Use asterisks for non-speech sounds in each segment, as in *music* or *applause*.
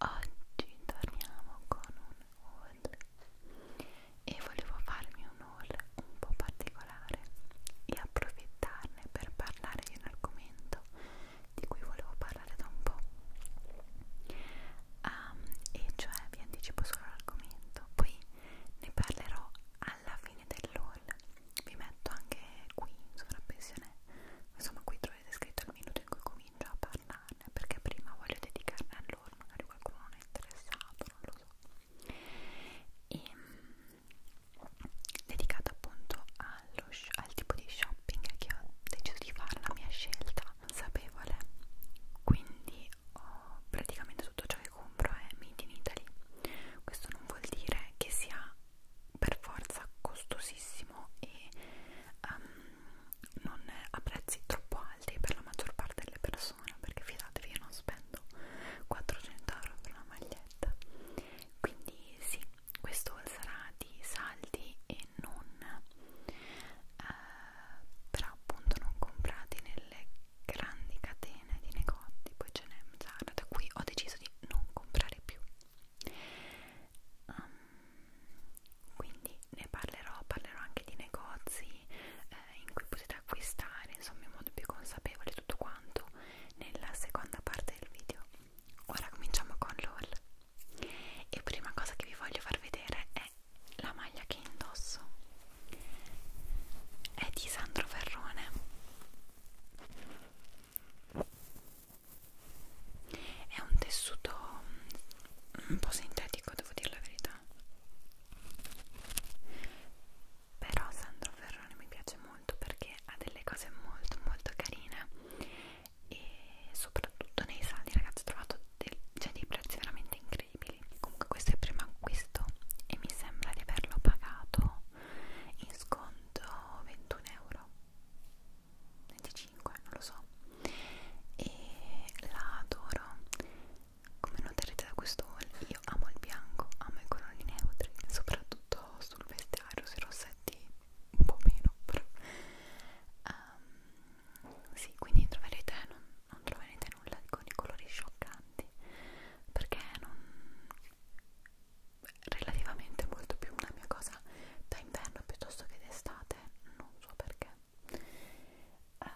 Oggi torniamo con un haul e volevo farmi un haul un po' particolare e approfittarne per parlare di un argomento di cui volevo parlare da un po'. Um, e cioè vi anticipo solo l'argomento, poi ne parlerò alla fine dell'haul. Vi metto anche qui in sovrappensione, insomma qui trovate scritto il minuto in cui comincio a parlarne perché prima voglio dedicarne a loro magari qualcuno non è interessato non lo so e ehm, dedicato appunto allo, al tipo di shopping che ho deciso di fare la mia scelta consapevole quindi ho praticamente tutto ciò che compro è made in Italy questo non vuol dire che sia per forza costosissimo e um, non è a prezzi troppo alti per la maggior parte delle persone perché fidatevi io non spendo 400 euro per una maglietta quindi sì questo sarà di saldi e non eh, però appunto non comprati nelle grandi catene di negozi poi ce n'è un da qui ho deciso di non comprare più Um, quindi ne parlerò, parlerò anche di negozi eh, in cui potete acquistare, insomma in modo più consapevole tutto quanto nella seconda parte del video. Ora cominciamo con LOL e prima cosa che vi voglio far vedere è la maglia che indosso è di Sandro Ferrone è un tessuto mm, un po' sintetico devo dire la verità però Sandro Ferrone mi piace molto perché ha delle cose molto molto carine e soprattutto nei saldi ragazzi ho trovato del, cioè dei prezzi veramente incredibili comunque questo è il primo acquisto e mi sembra di averlo pagato in sconto 21 euro 25 non lo so e la adoro come noterete da questo haul io amo il bianco amo i colori neutri soprattutto sul vestiario sui rossetti un po' meno però um, sì quindi troverete non, non troverete nulla con i colori scioccanti perché non relativamente molto più una mia cosa da inverno piuttosto che d'estate non so perché uh,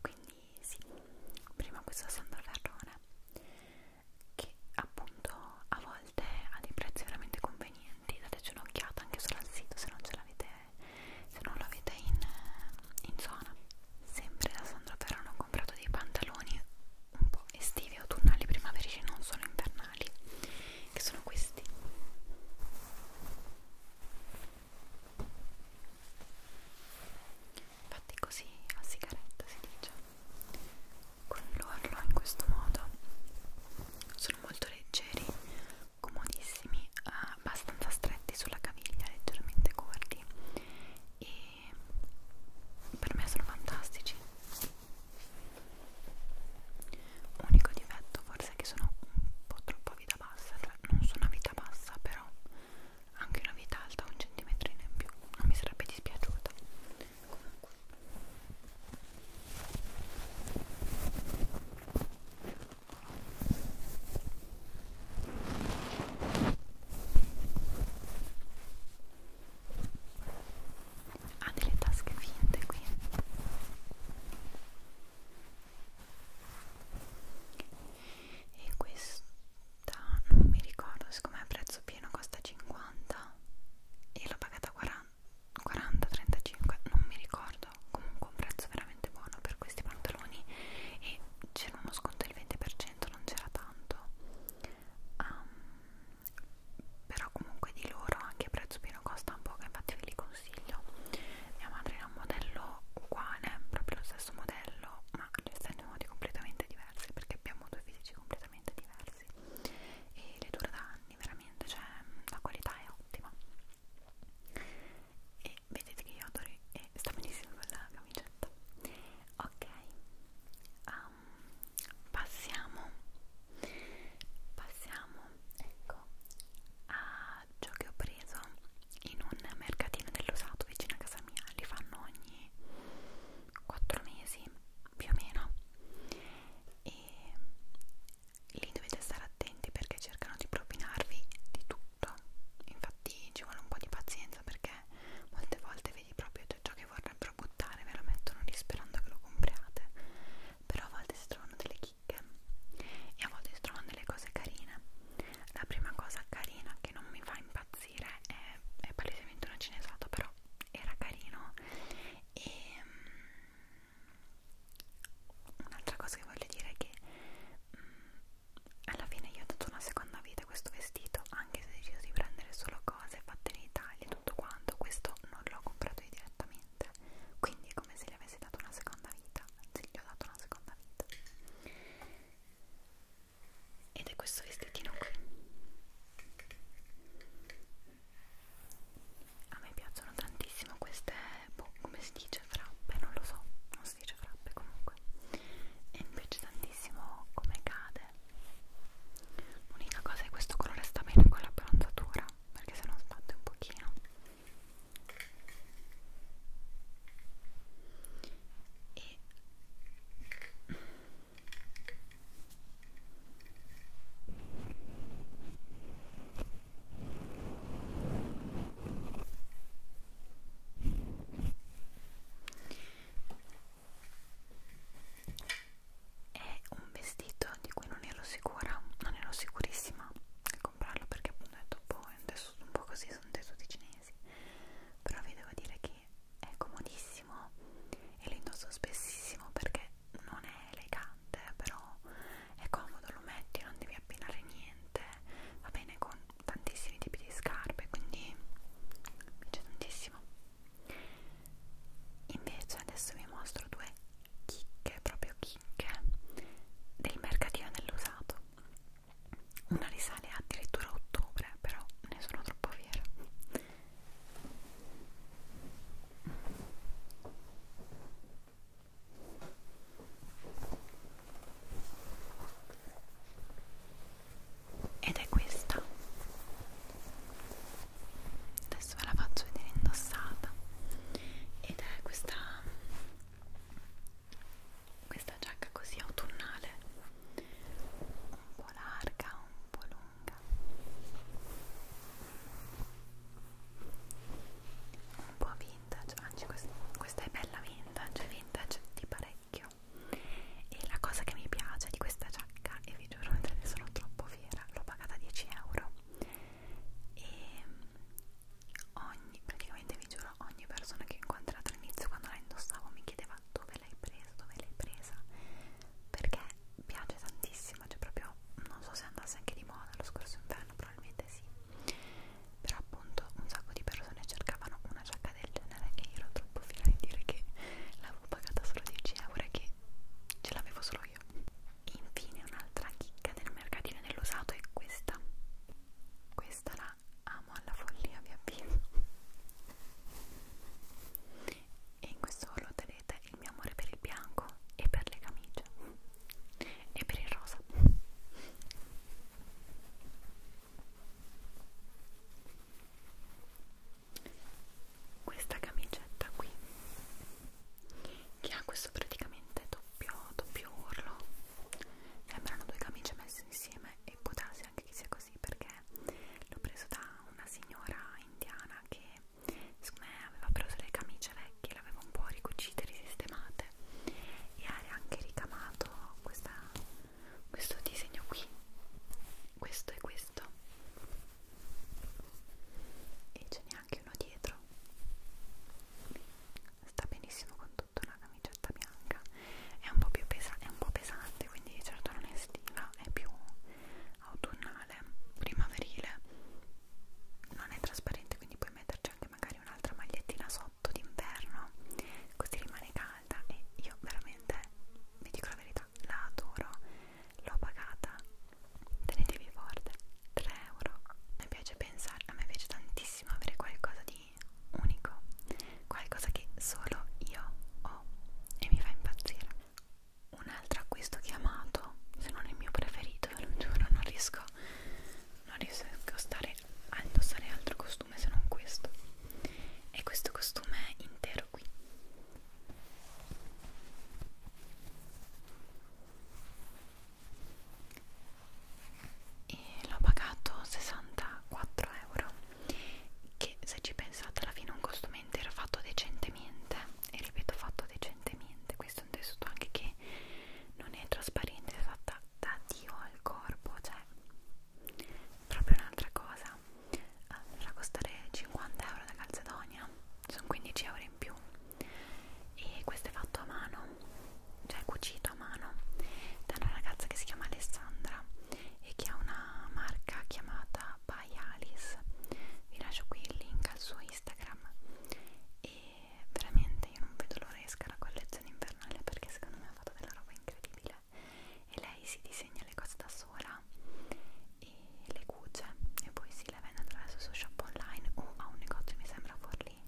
quindi sì prima questo sandalgarrone che appunto a volte ha dei prezzi veramente convenienti dateci un'occhiata anche solo al sito se non ce l'avete se non l'avete in, in zona sempre da Sandro Perano ho comprato dei pantaloni un po' estivi autunnali primaverici non solo invernali che sono questi fatti così a sigaretta si dice con l'orlo in questo modo sono molto leggeri comodissimi abbastanza stretti sulla caviglia leggermente corti e per me sono fantastici Unico difetto forse è che sono un po' troppo a vita bassa, cioè non sono a vita bassa, però anche una vita alta, un centimetro in più, non mi sarebbe dispiaciuta. Comunque ha delle tasche finte qui e questa non mi ricordo siccome a prezzo pieno costa 50 e l'ho pagata 40-35 non mi ricordo comunque un prezzo veramente buono per questi pantaloni e c'era uno sconto del 20% non c'era tanto um, però comunque di loro anche a prezzo pieno costa un poco infatti ve li consiglio mia madre ha un modello uguale proprio lo stesso modello ma li stende in modi completamente diversi perché abbiamo due fisici completamente diversi e le dura da anni veramente cioè la qualità è ottima e vedete che io adoro e sta benissimo con la camicetta ok um, passiamo passiamo ecco a ciò che ho preso in un mercatino dell'usato vicino a casa mia li fanno ogni 4 mesi più o meno e lì dovete stare attenti perché cercano di propinarvi di tutto infatti ci vuole un po' di pazienza perché molte volte vedi proprio ciò che che vorrebbero buttare ve lo mettono lì sperando che lo compriate però a volte si trovano delle chicche e a volte si trovano delle cose carine la prima cosa carina che non mi fa impazzire è, è palesemente una cinesata però era carino e um, un'altra cosa che voglio dire è che um, alla fine io ho dato una seconda vita a questo vestito anche se ho deciso di prendere solo cose fatte in Italia tutto quanto questo non l'ho comprato io direttamente quindi è come se gli avessi dato una seconda vita anzi gli ho dato una seconda vita ed è questo vestitino qui a me piacciono tantissimo queste boh, come si dice frappe non lo so non si dice frappe comunque e mi piace tantissimo come cade L'unica cosa è che questo colore sta bene con la bronzatura perché se no sbatte un pochino. E è un vestito di cui non ero sicura, non ero sicurissima di comprarlo perché appunto ho detto boh, è un tessuto un po' così, sono tessuti cinesi però vi devo dire che è comodissimo e lo indosso spessissimo perché non è elegante però è comodo, lo metti, non devi abbinare niente va bene con tantissimi tipi di scarpe quindi mi piace tantissimo Invece adesso vi mostro due chicche, proprio chicche, del mercatino dell'usato. Una risale addirittura a ottobre, però ne sono troppo fiera ed è questa adesso ve la faccio vedere indossata ed è questa questa giacca così autunnale un po' larga un po' lunga un po' vintage anzi questa, questa è bella vintage vintage di parecchio e la cosa che mi piace di questa giacca e vi giuro ne sono troppo fiera l'ho pagata 10 euro e ogni praticamente vi giuro ogni persona che ho incontrato all'inizio quando la indossavo mi chiedeva dove l'hai presa dove l'hai presa perché piace tantissimo cioè proprio non so se andasse anche di moda lo scorso inverno probabilmente sì però appunto un sacco di persone cercavano una giacca sciocca del genere e io ero troppo fiera di dire che l'avevo pagata solo 10 euro e che ce l'avevo solo io. Infine un'altra chicca del mercatino dell'usato è questa. Questa la amo alla follia, vi avviso. E in questo noterete il mio amore per il bianco e per le camicie e per il rosa questa camicetta qui che ha questo praticamente doppio, doppio urlo sembrano due camicie messe insieme e può darsi anche che sia così perché l'ho preso da una signora indiana che secondo me aveva preso le camicie vecchie le aveva un po' ricucite, risistemate e ha anche ricamato questa questo disegno qui questo e questo e ce n'è anche uno dietro sta benissimo con tutta una camicetta bianca è un po' più pesa è un po' pesante quindi certo non è estiva è più autunnale primaverile non è trasparente quindi puoi metterci anche magari un'altra magliettina sotto d'inverno così rimane calda e io veramente vi dico la verità scelta, la adoro, l'ho pagata, tenetevi forte, 3 euro. Mi piace pensare, a me piace tantissimo avere qualcosa di unico, qualcosa che solo io ho e mi fa impazzire. Un altro acquisto che ho amato, se non il mio preferito, ve lo giuro, non riesco, non riesco a, stare, a indossare altro costume se non questo. E questo costume intero libro qui e l'ho pagato 64 euro che se ci pensate alla fine un costume intero fatto decentemente e ripeto fatto decentemente questo è un tessuto anche che non è trasparente è fatta da dio al corpo cioè proprio un'altra cosa eh, farà costare 50 euro da Calzedonia sono 15 euro in più e questo è fatto a mano cioè cucito a mano da una ragazza che si chiama Alessandra e che ha una marca chiamata By Alice vi lascio qui il link al suo Instagram e veramente io non vedo l'ora esca la collezione invernale perché secondo me ha fatto della roba incredibile e lei si disegna le cose da sola e le cuce e poi si le vende attraverso il suo shop online o a un negozio mi sembra Forlì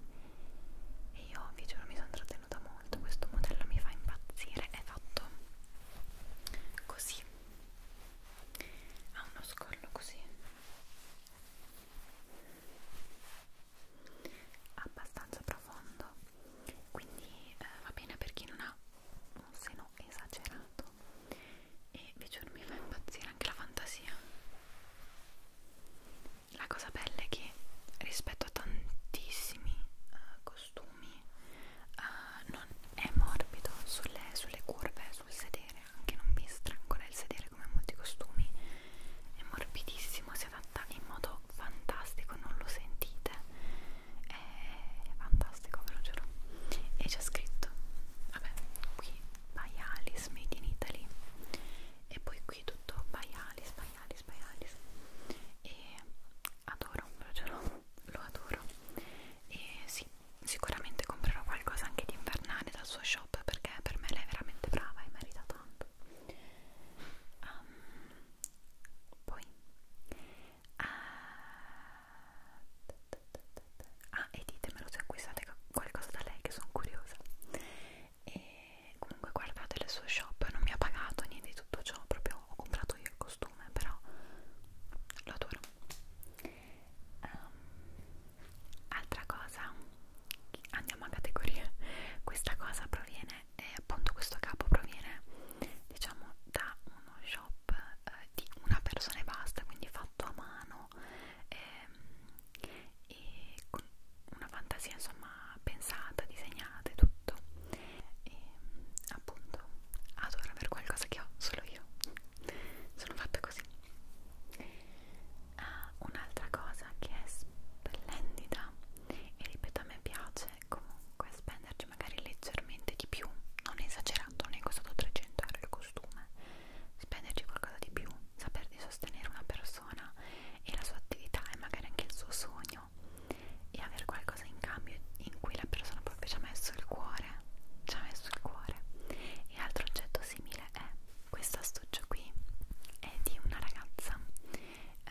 e io vi giuro mi sono trattenuta molto questo modello mi fa impazzire è fatto così ha uno scollo così abbastanza profondo quindi eh, va bene per chi non ha un seno esagerato e vi giuro mi fa impazzire anche la fantasia la cosa bella è che rispetto a tantissimi uh, costumi uh, non è morbido sulle, sulle curve sul sedere anche non mi strangola il sedere come molti costumi è morbidissimo si adatta in modo fantastico, non lo sentite? È fantastico, ve lo giuro. E c'è scritto, vabbè, qui by Alice Made in Italy. E poi qui tutto by Alice, by Alice, by Alice. E adoro, ve lo giuro, lo adoro. E sì, sicuramente comprerò qualcosa anche di invernale dal suo shop perché per me lei è veramente brava e merita tanto. Um, poi ah, ah e ditemelo se acquistate qualcosa da lei che sono curiosa e comunque guardate le sue shop non mi ha pagato niente di tutto ciò proprio ho comprato io il costume però lo adoro um, altra cosa andiamo a categoria questa cosa proviene proviene eh, appunto questo capo proviene diciamo da uno shop eh, di una persona e basta quindi fatto a mano ehm, e con una fantasia insomma pensata disegnata e tutto e appunto adoro avere qualcosa che ho solo io sono fatta così Uh, un'altra cosa che è splendida e ripeto a me piace comunque spenderci magari leggermente di più non esagerato, non è costato 300 euro il costume spenderci qualcosa di più saper di sostenere una persona e la sua attività e magari anche il suo sogno e avere qualcosa in cambio in cui la persona proprio ci ha messo il cuore ci ha messo il cuore e altro oggetto simile è questo astuccio qui è di una ragazza eh,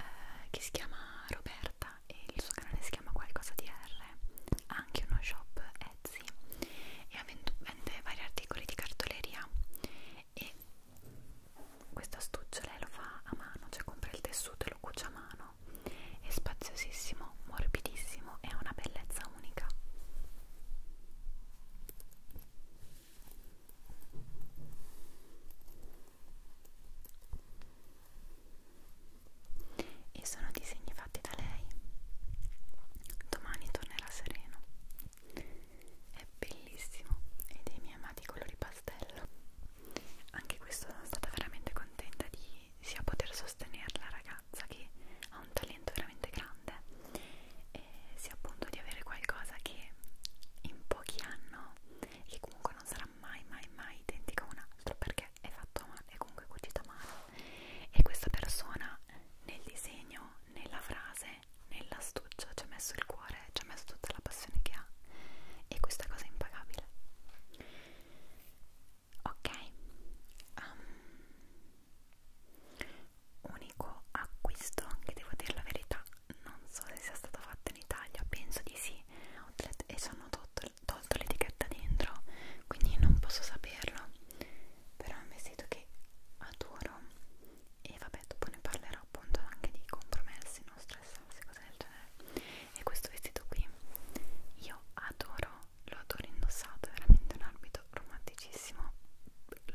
che si chiama Roberta Sara e il suo canale si chiama Qualcosa di R, ha anche uno shop Etsy e ha vende vari articoli di cartoleria e questa astuccia lei lo fa a mano, cioè compra il tessuto e lo cuce a mano, è spaziosissimo, morbidissimo e ha una bellezza unica e sono disegni fatti da lei. Domani tornerà sereno. È bellissimo e dei miei amati colori pastello. Anche questo sono stata veramente contenta di sia poter sostenere la ragazza che ha un talento veramente grande e sia appunto di avere qualcosa che in pochi hanno e che comunque comunque non sarà mai mai mai identica a un altro perché è fatto a mano, è comunque cucito a mano e questa persona nel disegno, nella frase, nell'astuccia ci ha messo il cuore, ci ha messo tutta la passione che ha e questa cosa è impagabile ok um, unico acquisto che devo dire la verità non so se sia stato fatto in Italia penso di sì outlet e sono tolto, tolto l'etichetta dentro quindi non posso saperlo però è un vestito che adoro e vabbè dopo ne parlerò appunto anche di compromessi non stressarsi cose del genere e questo vestito qui io adoro lo adoro indossato è veramente un arbitro romanticissimo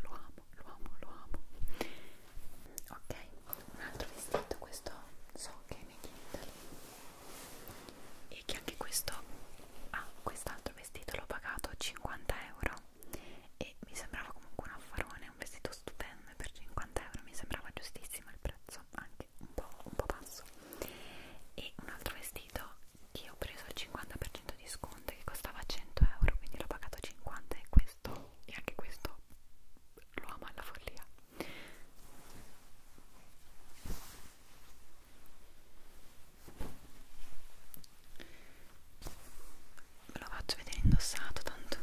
lo amo lo amo lo amo ok un altro vestito, questo so che è made in Italy e che anche questo ah, quest'altro vestito l'ho pagato 50 euro e mi sembrava comunque un affarone, un vestito stupendo per 50 euro mi sembrava giustissimo il prezzo, anche un po', un po basso e un altro vestito che ho preso al 50% di sconto che costava 100 euro quindi l'ho pagato 50 e questo e anche questo lo ama alla follia ve lo faccio vedere indossato tanto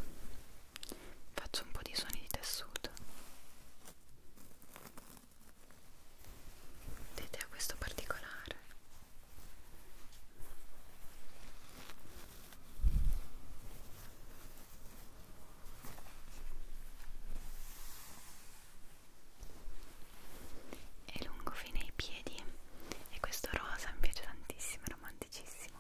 faccio un po' di suoni di tessuto vedete a questo particolare è lungo fino ai piedi e questo rosa mi piace tantissimo, è romanticissimo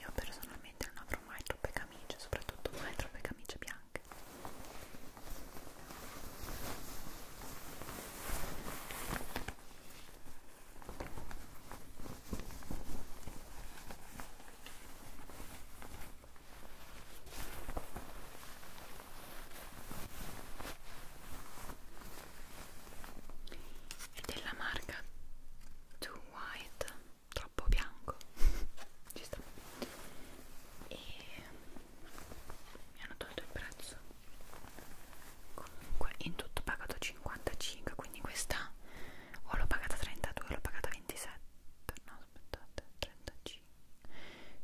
io personalmente non avrò mai troppe camicie, soprattutto mai troppe camicie bianche. Ed è della marca Too White troppo bianco *laughs* ci sta e mi hanno tolto il prezzo comunque in tutto ho pagato 55 quindi questa o l'ho pagata 32 o l'ho pagata 27 no aspettate 35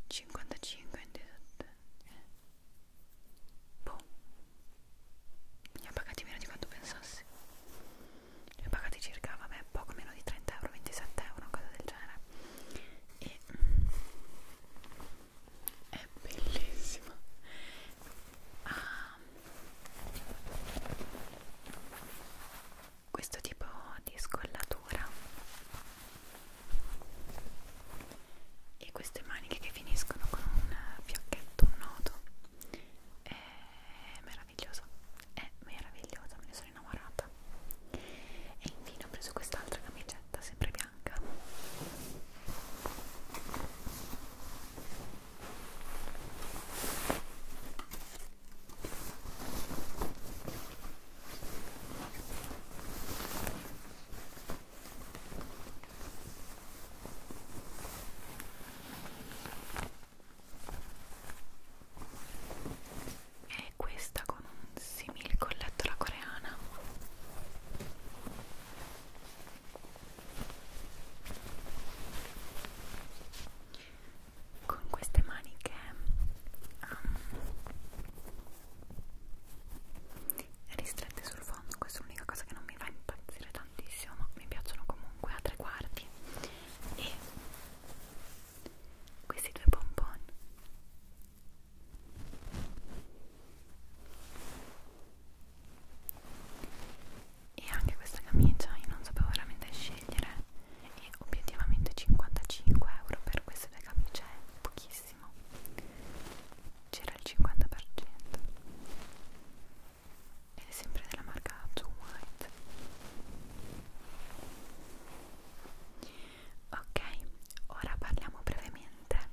55 27 eh. boh mi ha pagati meno di quanto pensassi li ho pagati circa vabbè, poco meno di 30 euro 27 euro una cosa del genere e mm, è bellissima ah, questo tipo di scollatura e queste maniche che finiscono con un fiocchetto, un nodo è meraviglioso è meravigliosa, me ne sono innamorata e infine ho preso quest'altra camicetta sempre bianca è questa con un simil colletto alla coreana con queste maniche um, ristrette sul fondo questa è l'unica cosa che non mi fa impazzire tantissimo ma mi piaciono comunque a tre quarti e questi due bonbon e anche questa camicia io non sapevo veramente scegliere e obiettivamente 55 euro per queste due camicie è pochissimo c'era il 50% ed è sempre della marca Two White ok ora parliamo brevemente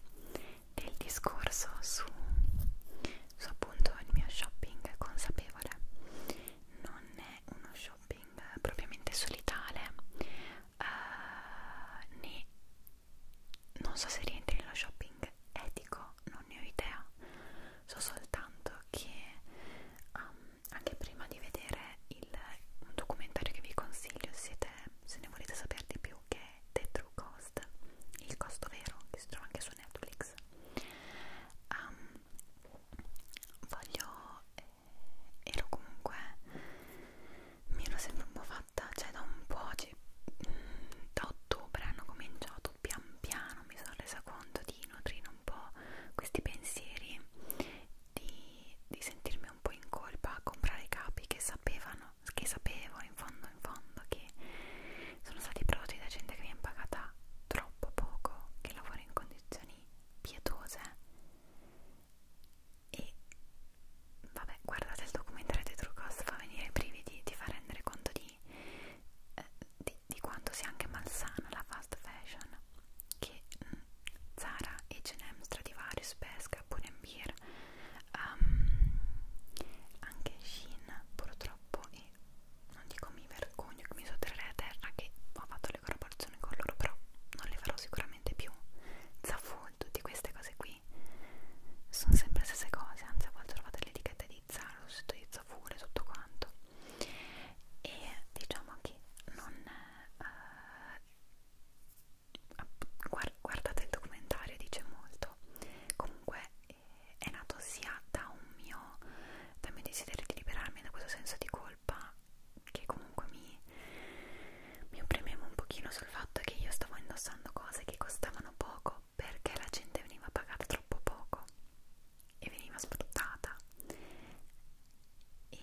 del discorso su, su appunto il mio shopping consapevole non è uno shopping propriamente solitale uh, né non so se rientri nello shopping etico non ne ho idea so soltanto che um, anche prima di vedere il, un documentario che vi consiglio siete, se ne volete sapere di più che è The True Cost il costo vero che si trova anche su Netflix um, voglio eh, ero comunque mi ero sempre un po' fatta cioè da un po' mm, da ottobre hanno cominciato appunto pian piano mi sono resa conto di nutrire un po' questi pensieri di, di sentirmi un po' in colpa a comprare capi che sapevano che sapevo in fondo in fondo che sono stati prodotti da gente che mi ha pagata troppo poco che lavora in condizioni pietose e vabbè guardate il documentario di True Cost fa venire i brividi ti fa rendere conto di eh, di, di quanto sia anche malsana la fast fashion che mh, mm, Zara, H&M, Stradivarius, Pesca, Pull&Bear um, ehm, anche Shein purtroppo e non dico mi vergogno che mi sotterrei a terra che ho fatto le collaborazioni con loro però non le farò sicuramente più Zafu, tutte queste cose qui sono sempre le stesse cose anzi a volte trovate l'etichetta utilizza, lo si utilizza pure tutto quanto e diciamo che non eh, guardate il documentario dice molto comunque eh, è nato sia da un mio dal mio desiderio di liberarmi da questo senso di colpa che comunque mi, mi opprimevo un pochino sul fatto che io stavo indossando cose che costavano poco perché la gente veniva pagata troppo poco e veniva sfruttata e,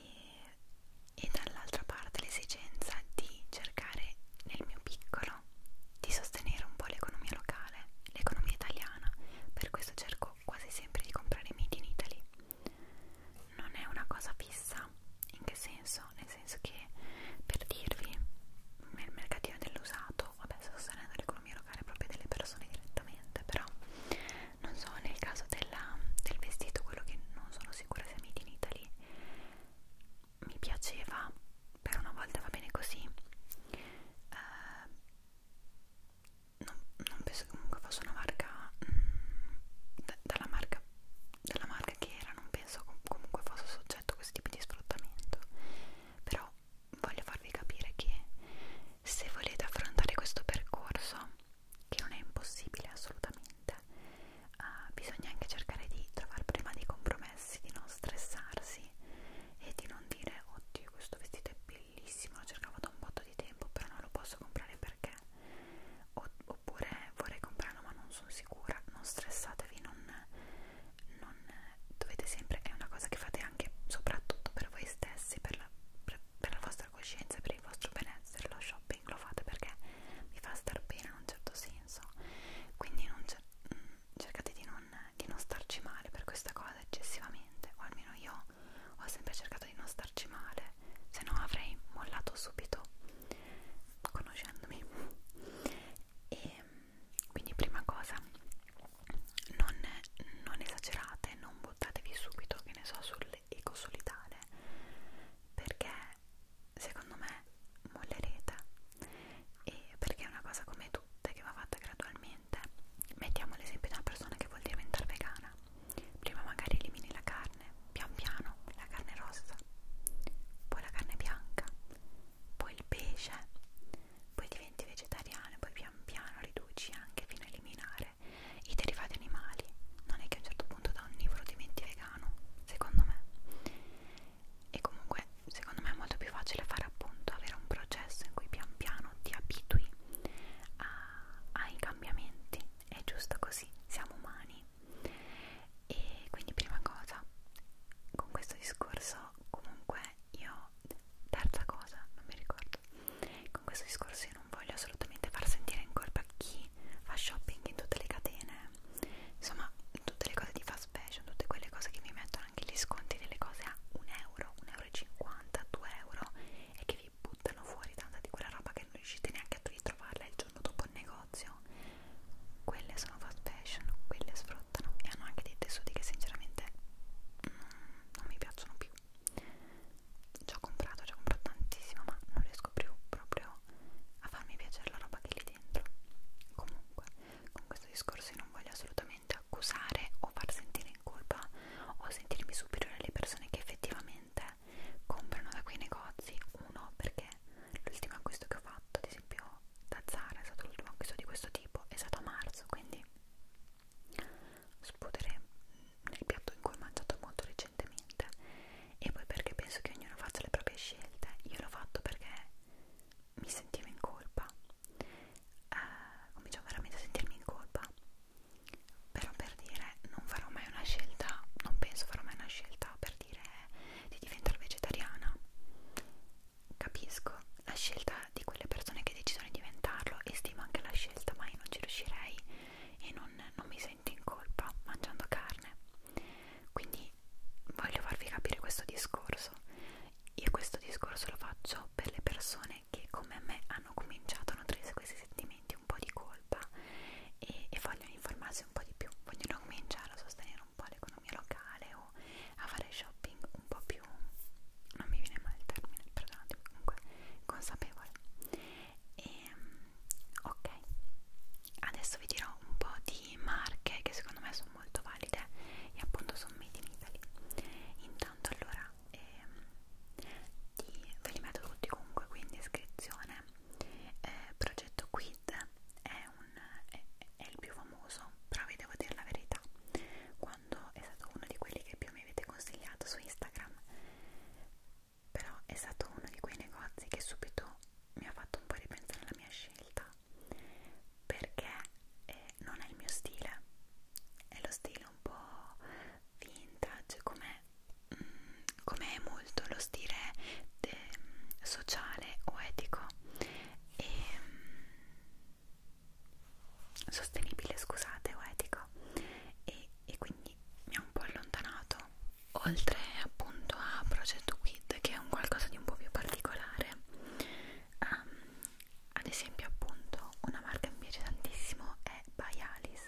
e dall'altra parte l'esigenza di cercare nel mio piccolo di sostenere un po' l'economia locale, l'economia italiana, per questo cerco quasi sempre di comprare made in Italy. Non è una cosa fissa, in che senso? Nel senso che per dirvi nel mercatino dell'usato, vabbè sto sostenendo l'economia interrogare proprio delle persone direttamente però non so nel caso della, del vestito quello che non sono sicura se è made in Italy mi piaceva per una volta va bene così eh, non, non penso che comunque fosse una marca mh, mm, da, dalla marca della marca che era non penso com comunque fosse soggetto a questo tipo di sfruttamento però voglio farvi capire che se volete affrontare questo percorso, che non è impossibile assolutamente, uh, bisogna anche cercare di trovare prima dei compromessi, di non stressarsi e di non dire oddio questo vestito è bellissimo, lo cercavo da un botto di tempo però non lo posso comprare perché oppure vorrei comprarlo ma non sono sicura, non stressatevi, non non dovete sempre, è una cosa che fate anche soprattutto per voi stessi, per la, per, per la vostra coscienza, per il vostro benessere, lo shopping lo fate perché vi fa star bene in un certo senso, quindi non cer mm, cercate di non, di non starci male per questa cosa eccessivamente, o almeno io ho sempre cercato di non starci male, se no avrei mollato subito conoscendomi. *laughs* E ehm, quindi prima cosa non, non esagerate non buttatevi subito che ne so sull'eco solidale perché secondo me mollerete e perché è una cosa come tutte che va fatta gradualmente mettiamo l'esempio di una persona che vuol diventare vegana prima magari elimini la carne pian piano la carne rossa poi la carne bianca poi il pesce poi diventi vegetariano e poi pian piano riduci anche fino a eliminare i derivati animali. Non è che a un certo punto da onnivoro diventi vegano, secondo me. E comunque secondo me è molto più facile fare appunto avere un processo in cui pian piano ti abitui a, ai cambiamenti. È giusto così, siamo umani. E quindi prima cosa, con questo discorso comunque me io terza cosa non mi ricordo con questo discorso io non voglio assolutamente far sentire in colpa chi fa shopping in tutte le catene insomma tutte le cose di fast fashion tutte quelle cose che mi mettono anche gli sconti delle cose a 1 euro 1,50 euro 2 euro e che vi buttano fuori tanta di quella roba che non riuscite neanche a ritrovarla il giorno dopo il negozio quelle sono fast fashion quelle sfruttano e hanno anche dei tessuti che sinceramente non mm, non mi piacciono più ci ho comprato, ci ho comprato tantissimo ma non riesco più proprio a farmi piacere la roba che è lì dentro comunque con questo discorso io non voglio assolutamente accusare o far sentire in colpa o sentirmi superiore alle persone che effettivamente comprano da quei negozi uno perché l'ultimo acquisto che ho fatto ad esempio da Zara è stato l'ultimo acquisto di questo tipo è stato a marzo quindi sputere nel piatto in cui ho mangiato molto recentemente e poi perché penso che ognuno faccia le proprie scelte io l'ho fatto perché mi sentivo in colpa eh, cominciavo veramente a sentirmi in colpa però per dire non farò mai una scelta non penso farò mai una scelta per dire di diventare vegetariana capisco la scelta di quelle persone che decidono di diventarlo e stimo anche la scelta, ma io non ci riuscirei e non, non mi sento in colpa mangiando carne. Quindi voglio farvi capire questo discorso. Io questo discorso lo faccio per le persone che come me hanno cominciato a nutrirsi questi sentimenti un po' di colpa e, e vogliono informarsi un po' di più, vogliono cominciare a sostenere un po' le cose all'economia locale o a fare shopping un po' più non mi viene mai il termine, perdonatemi, comunque consapevole e, ehm, ok adesso vi dirò un po' di marche che secondo me sono molto valide e appunto sono made in Italy intanto allora ehm, di, ve li metto tutti comunque qui in descrizione eh, progetto Quid è un è, è il più famoso, però vi devo dire la verità, quando è stato uno di quelli che più mi avete consigliato su Instagram, però è stato uno di quei negozi che subito mi ha fatto un po' ripensare alla mia scelta, perché eh, non è il mio stile, è lo stile un po' vintage, come mm, come è molto lo stile eh, sociale o etico e, mm, sostenibile, scusate, o etico e, e quindi mi ha un po' allontanato oltre appunto a Progetto Quid che è un qualcosa di un po' più particolare um, ad esempio appunto una marca che mi piace tantissimo è Bialis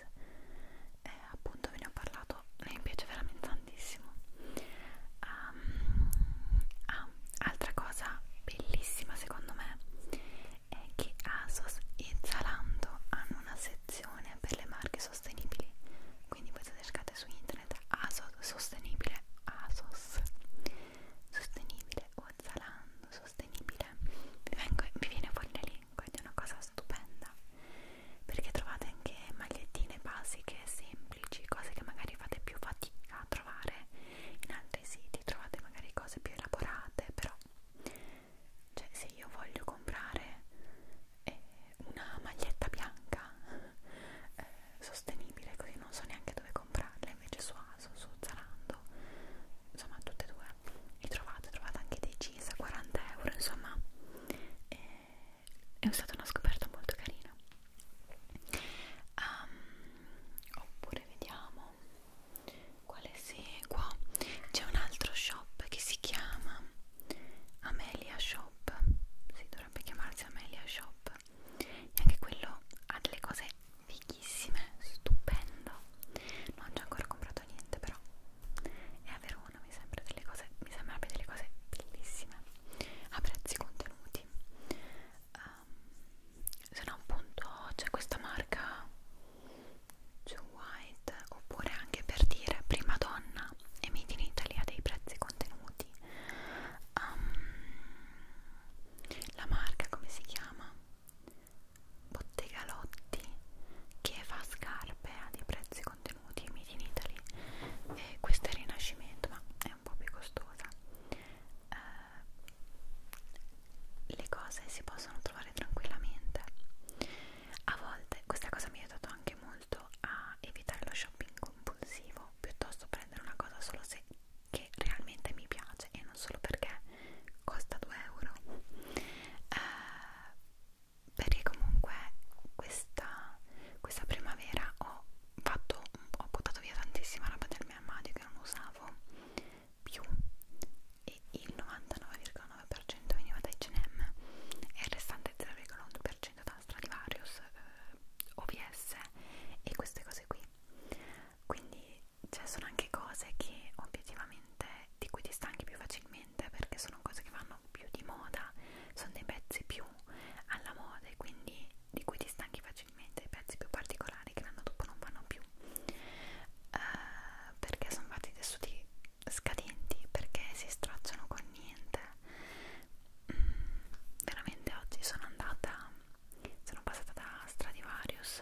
eh, appunto ve ne ho parlato, lei mi piace veramente tantissimo uh, ah, altra cosa bellissima secondo me è che ASOS e Zalando hanno una sezione per le marche sostenibili quindi voi cercate su internet ASOS sostenibile ASOS sostenibile o Zalando sostenibile vi, vengo, vi viene fuori l'elenco ed è una cosa stupenda perché trovate anche magliettine basiche semplici semplici, cose che magari fate più fatica a trovare in altri siti, trovate magari cose più elaborate, però cioè se io voglio comprare eh, una maglietta bianca eh, sostenibile, così non so neanche dove comprarla, invece su Aso, su Zalando, insomma tutte e due li trovate, trovate anche dei jeans a 40 euro, insomma eh, è stata una scoperta molto carina Um, oppure vediamo quale segua. C'è un altro shop che si chiama Amelia Shop. Si dovrebbe chiamarsi Amelia Shop. E anche quello ha delle cose fighissime, stupendo. Non ci ho ancora comprato niente, però è a Verona, mi sembra delle cose, mi sembra delle cose bellissime a prezzi contenuti. Uh, se no appunto c'è questa marca Joe White oppure anche per dire prima donna e made in Italy ha dei prezzi contenuti um, la marca come si chiama? Bottega Lotti che fa scarpe ha dei prezzi contenuti made in Italy e questo è Rinascimento ma è un po' più costosa eh, le cose si possono trovare tranquillamente a volte questa cosa mi ha aiutato anche molto a evitare lo shopping compulsivo piuttosto prendere una cosa solo se che realmente mi piace e non solo perché costa 2 euro eh, perché comunque questa, questa primavera ho fatto, ho buttato via tantissima roba del mio armadio che non usavo più e il 99,9% veniva da H&M e il restante 0,1% da Stradivarius eh, OVS e queste cose qui quindi cioè, sono anche cose che obiettivamente di cui ti stanchi più facilmente perché sono cose che vanno più di moda sono dei pezzi più alla moda e quindi di cui ti stanchi facilmente, i pezzi più particolari che l'anno dopo non vanno più uh, perché sono fatti tessuti scadenti, perché si stracciano con niente mm, veramente oggi sono andata sono passata da Stradivarius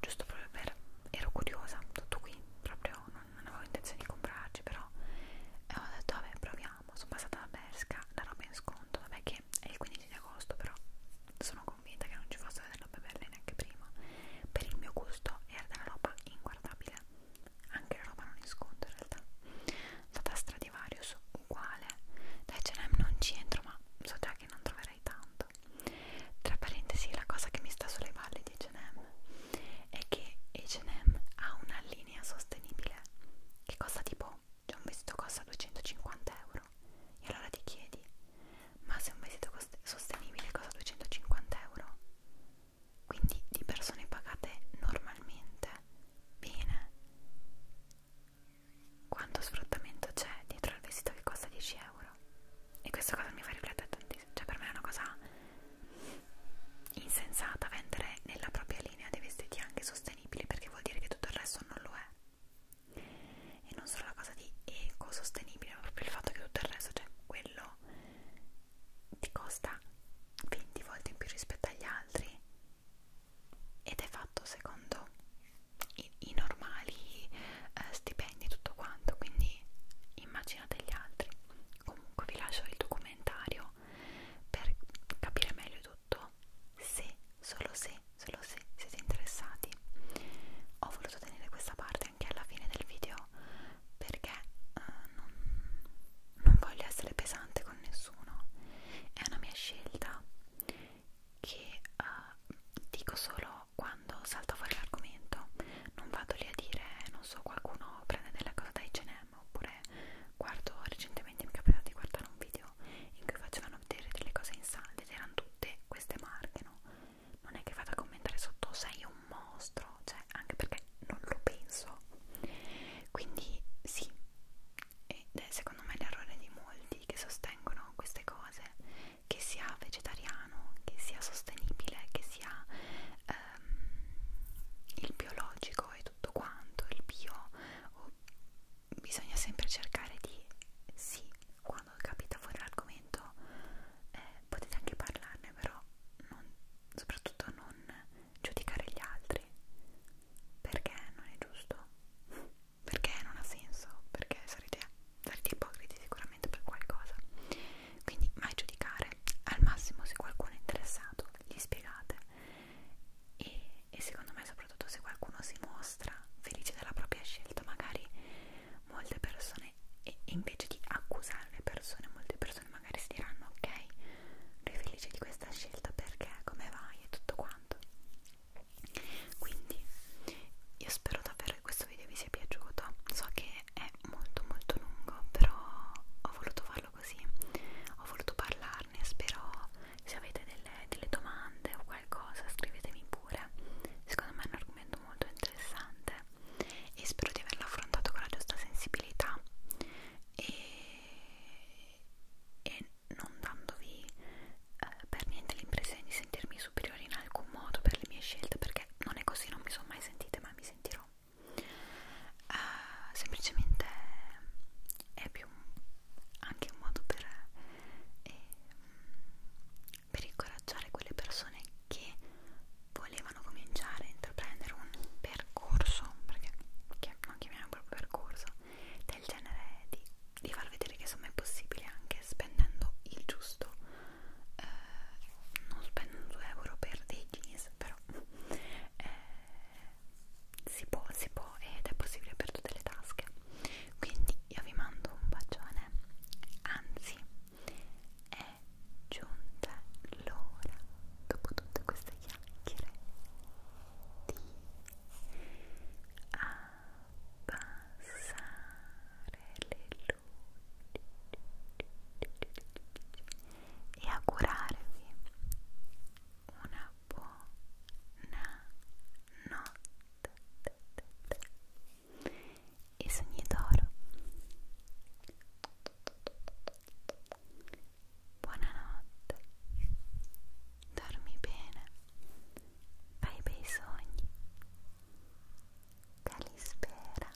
giusto proprio per ero curiosa, tutto qui proprio non, non avevo intenzione di comprarci però e eh, ho detto vabbè proviamo proviamo sono passata da Berska la roba in sconto vabbè che è il 15 di agosto però sono convinta che non ci fosse della roba bella neanche prima per il mio gusto era della roba inguardabile anche la roba non in sconto in realtà la tastra di Varius uguale da H&M non ci entro ma so già che non troverai tanto tra parentesi la cosa che mi sta sulle palle di H&M è che H&M ha una linea sostenibile che costa tipo euro, cioè un vestito costa 250 euro e allora ti chiedi, ma se un vestito sostenibile costa 250 euro, quindi di persone pagate normalmente, bene, quanto sfruttamento c'è dietro al vestito che costa 10 euro? E questa cosa mi fa riflettere tantissimo, cioè per me è una cosa insensata vendere nella propria linea dei vestiti è anche sostenibile perché vuol dire che tutto il resto non lo è e non solo la cosa di ecosostenibile ma proprio il fatto che tutto il resto cioè quello ti costa 20 volte in più rispetto agli altri ed è fatto secondo i, i normali eh, stipendi e tutto quanto quindi immaginate gli altri comunque vi lascio il documentario per capire meglio tutto prodotto se, solo se, solo se siete interessati. Ho voluto tenere questa parte anche alla fine del video perché eh, non, non voglio essere pesante con nessuno. È una mia scelta che eh, dico solo quando salta fuori l'argomento. Non vado lì a dire, non so, qualcuno prende della cosa da H&M Instagram oppure guardo recentemente mi è capitato di guardare un video in cui facevano vedere delle cose insane ed erano tutte queste marche no? non è che vado a commentare sotto sei un mostro cioè anche perché non lo penso quindi sì ed è secondo me l'errore di molti che sostengono queste cose che sia vegetariano che sia sostenibile che sia ehm, il biologico e tutto quanto il bio o bisogna sempre cercare di sì, quando capita fuori l'argomento eh, potete anche parlarne, però non, soprattutto non giudicare gli altri perché non è giusto, perché non ha senso, perché sarete, sarete ipocriti sicuramente per qualcosa. Quindi mai giudicare, al massimo se qualcuno è interessato gli spiegate e, e secondo me soprattutto se qualcuno si mostra felice della propria scelta magari molte persone e invece di accusare le persone molte persone magari si diranno ok lui è felice di questa scelta perché come vai e tutto quanto quindi io spero davvero che questo video vi sia piaciuto so che è molto molto lungo però ho voluto farlo così ho voluto parlare parlarne spero se avete delle, delle domande o qualcosa scrivetemi pure secondo me è un argomento molto interessante e spero di averlo affrontato con la giusta sensibilità e, e non dandovi eh, per niente l'impressione di sentirmi superiore in alcun modo per le mie scelte perché non è così, non mi sono mai sentita ma mi sentirò uh, semplicemente è più anche un modo per, eh, per incoraggiare quelle persone che volevano cominciare a intraprendere un percorso perché non chiamiamo proprio percorso del genere di, di far vedere che insomma è possibile anche spendendo il giusto eh, non spendo 2 euro per dei jeans però eh, si può, si può ed è possibile per tutte le tasche. Quindi io vi mando un bacione, anzi è giunta l'ora, dopo tutte queste chiacchiere, di abbassare le luci e augurarvi una buona notte e sogni d'oro buonanotte dormi bene fai bei sogni calispera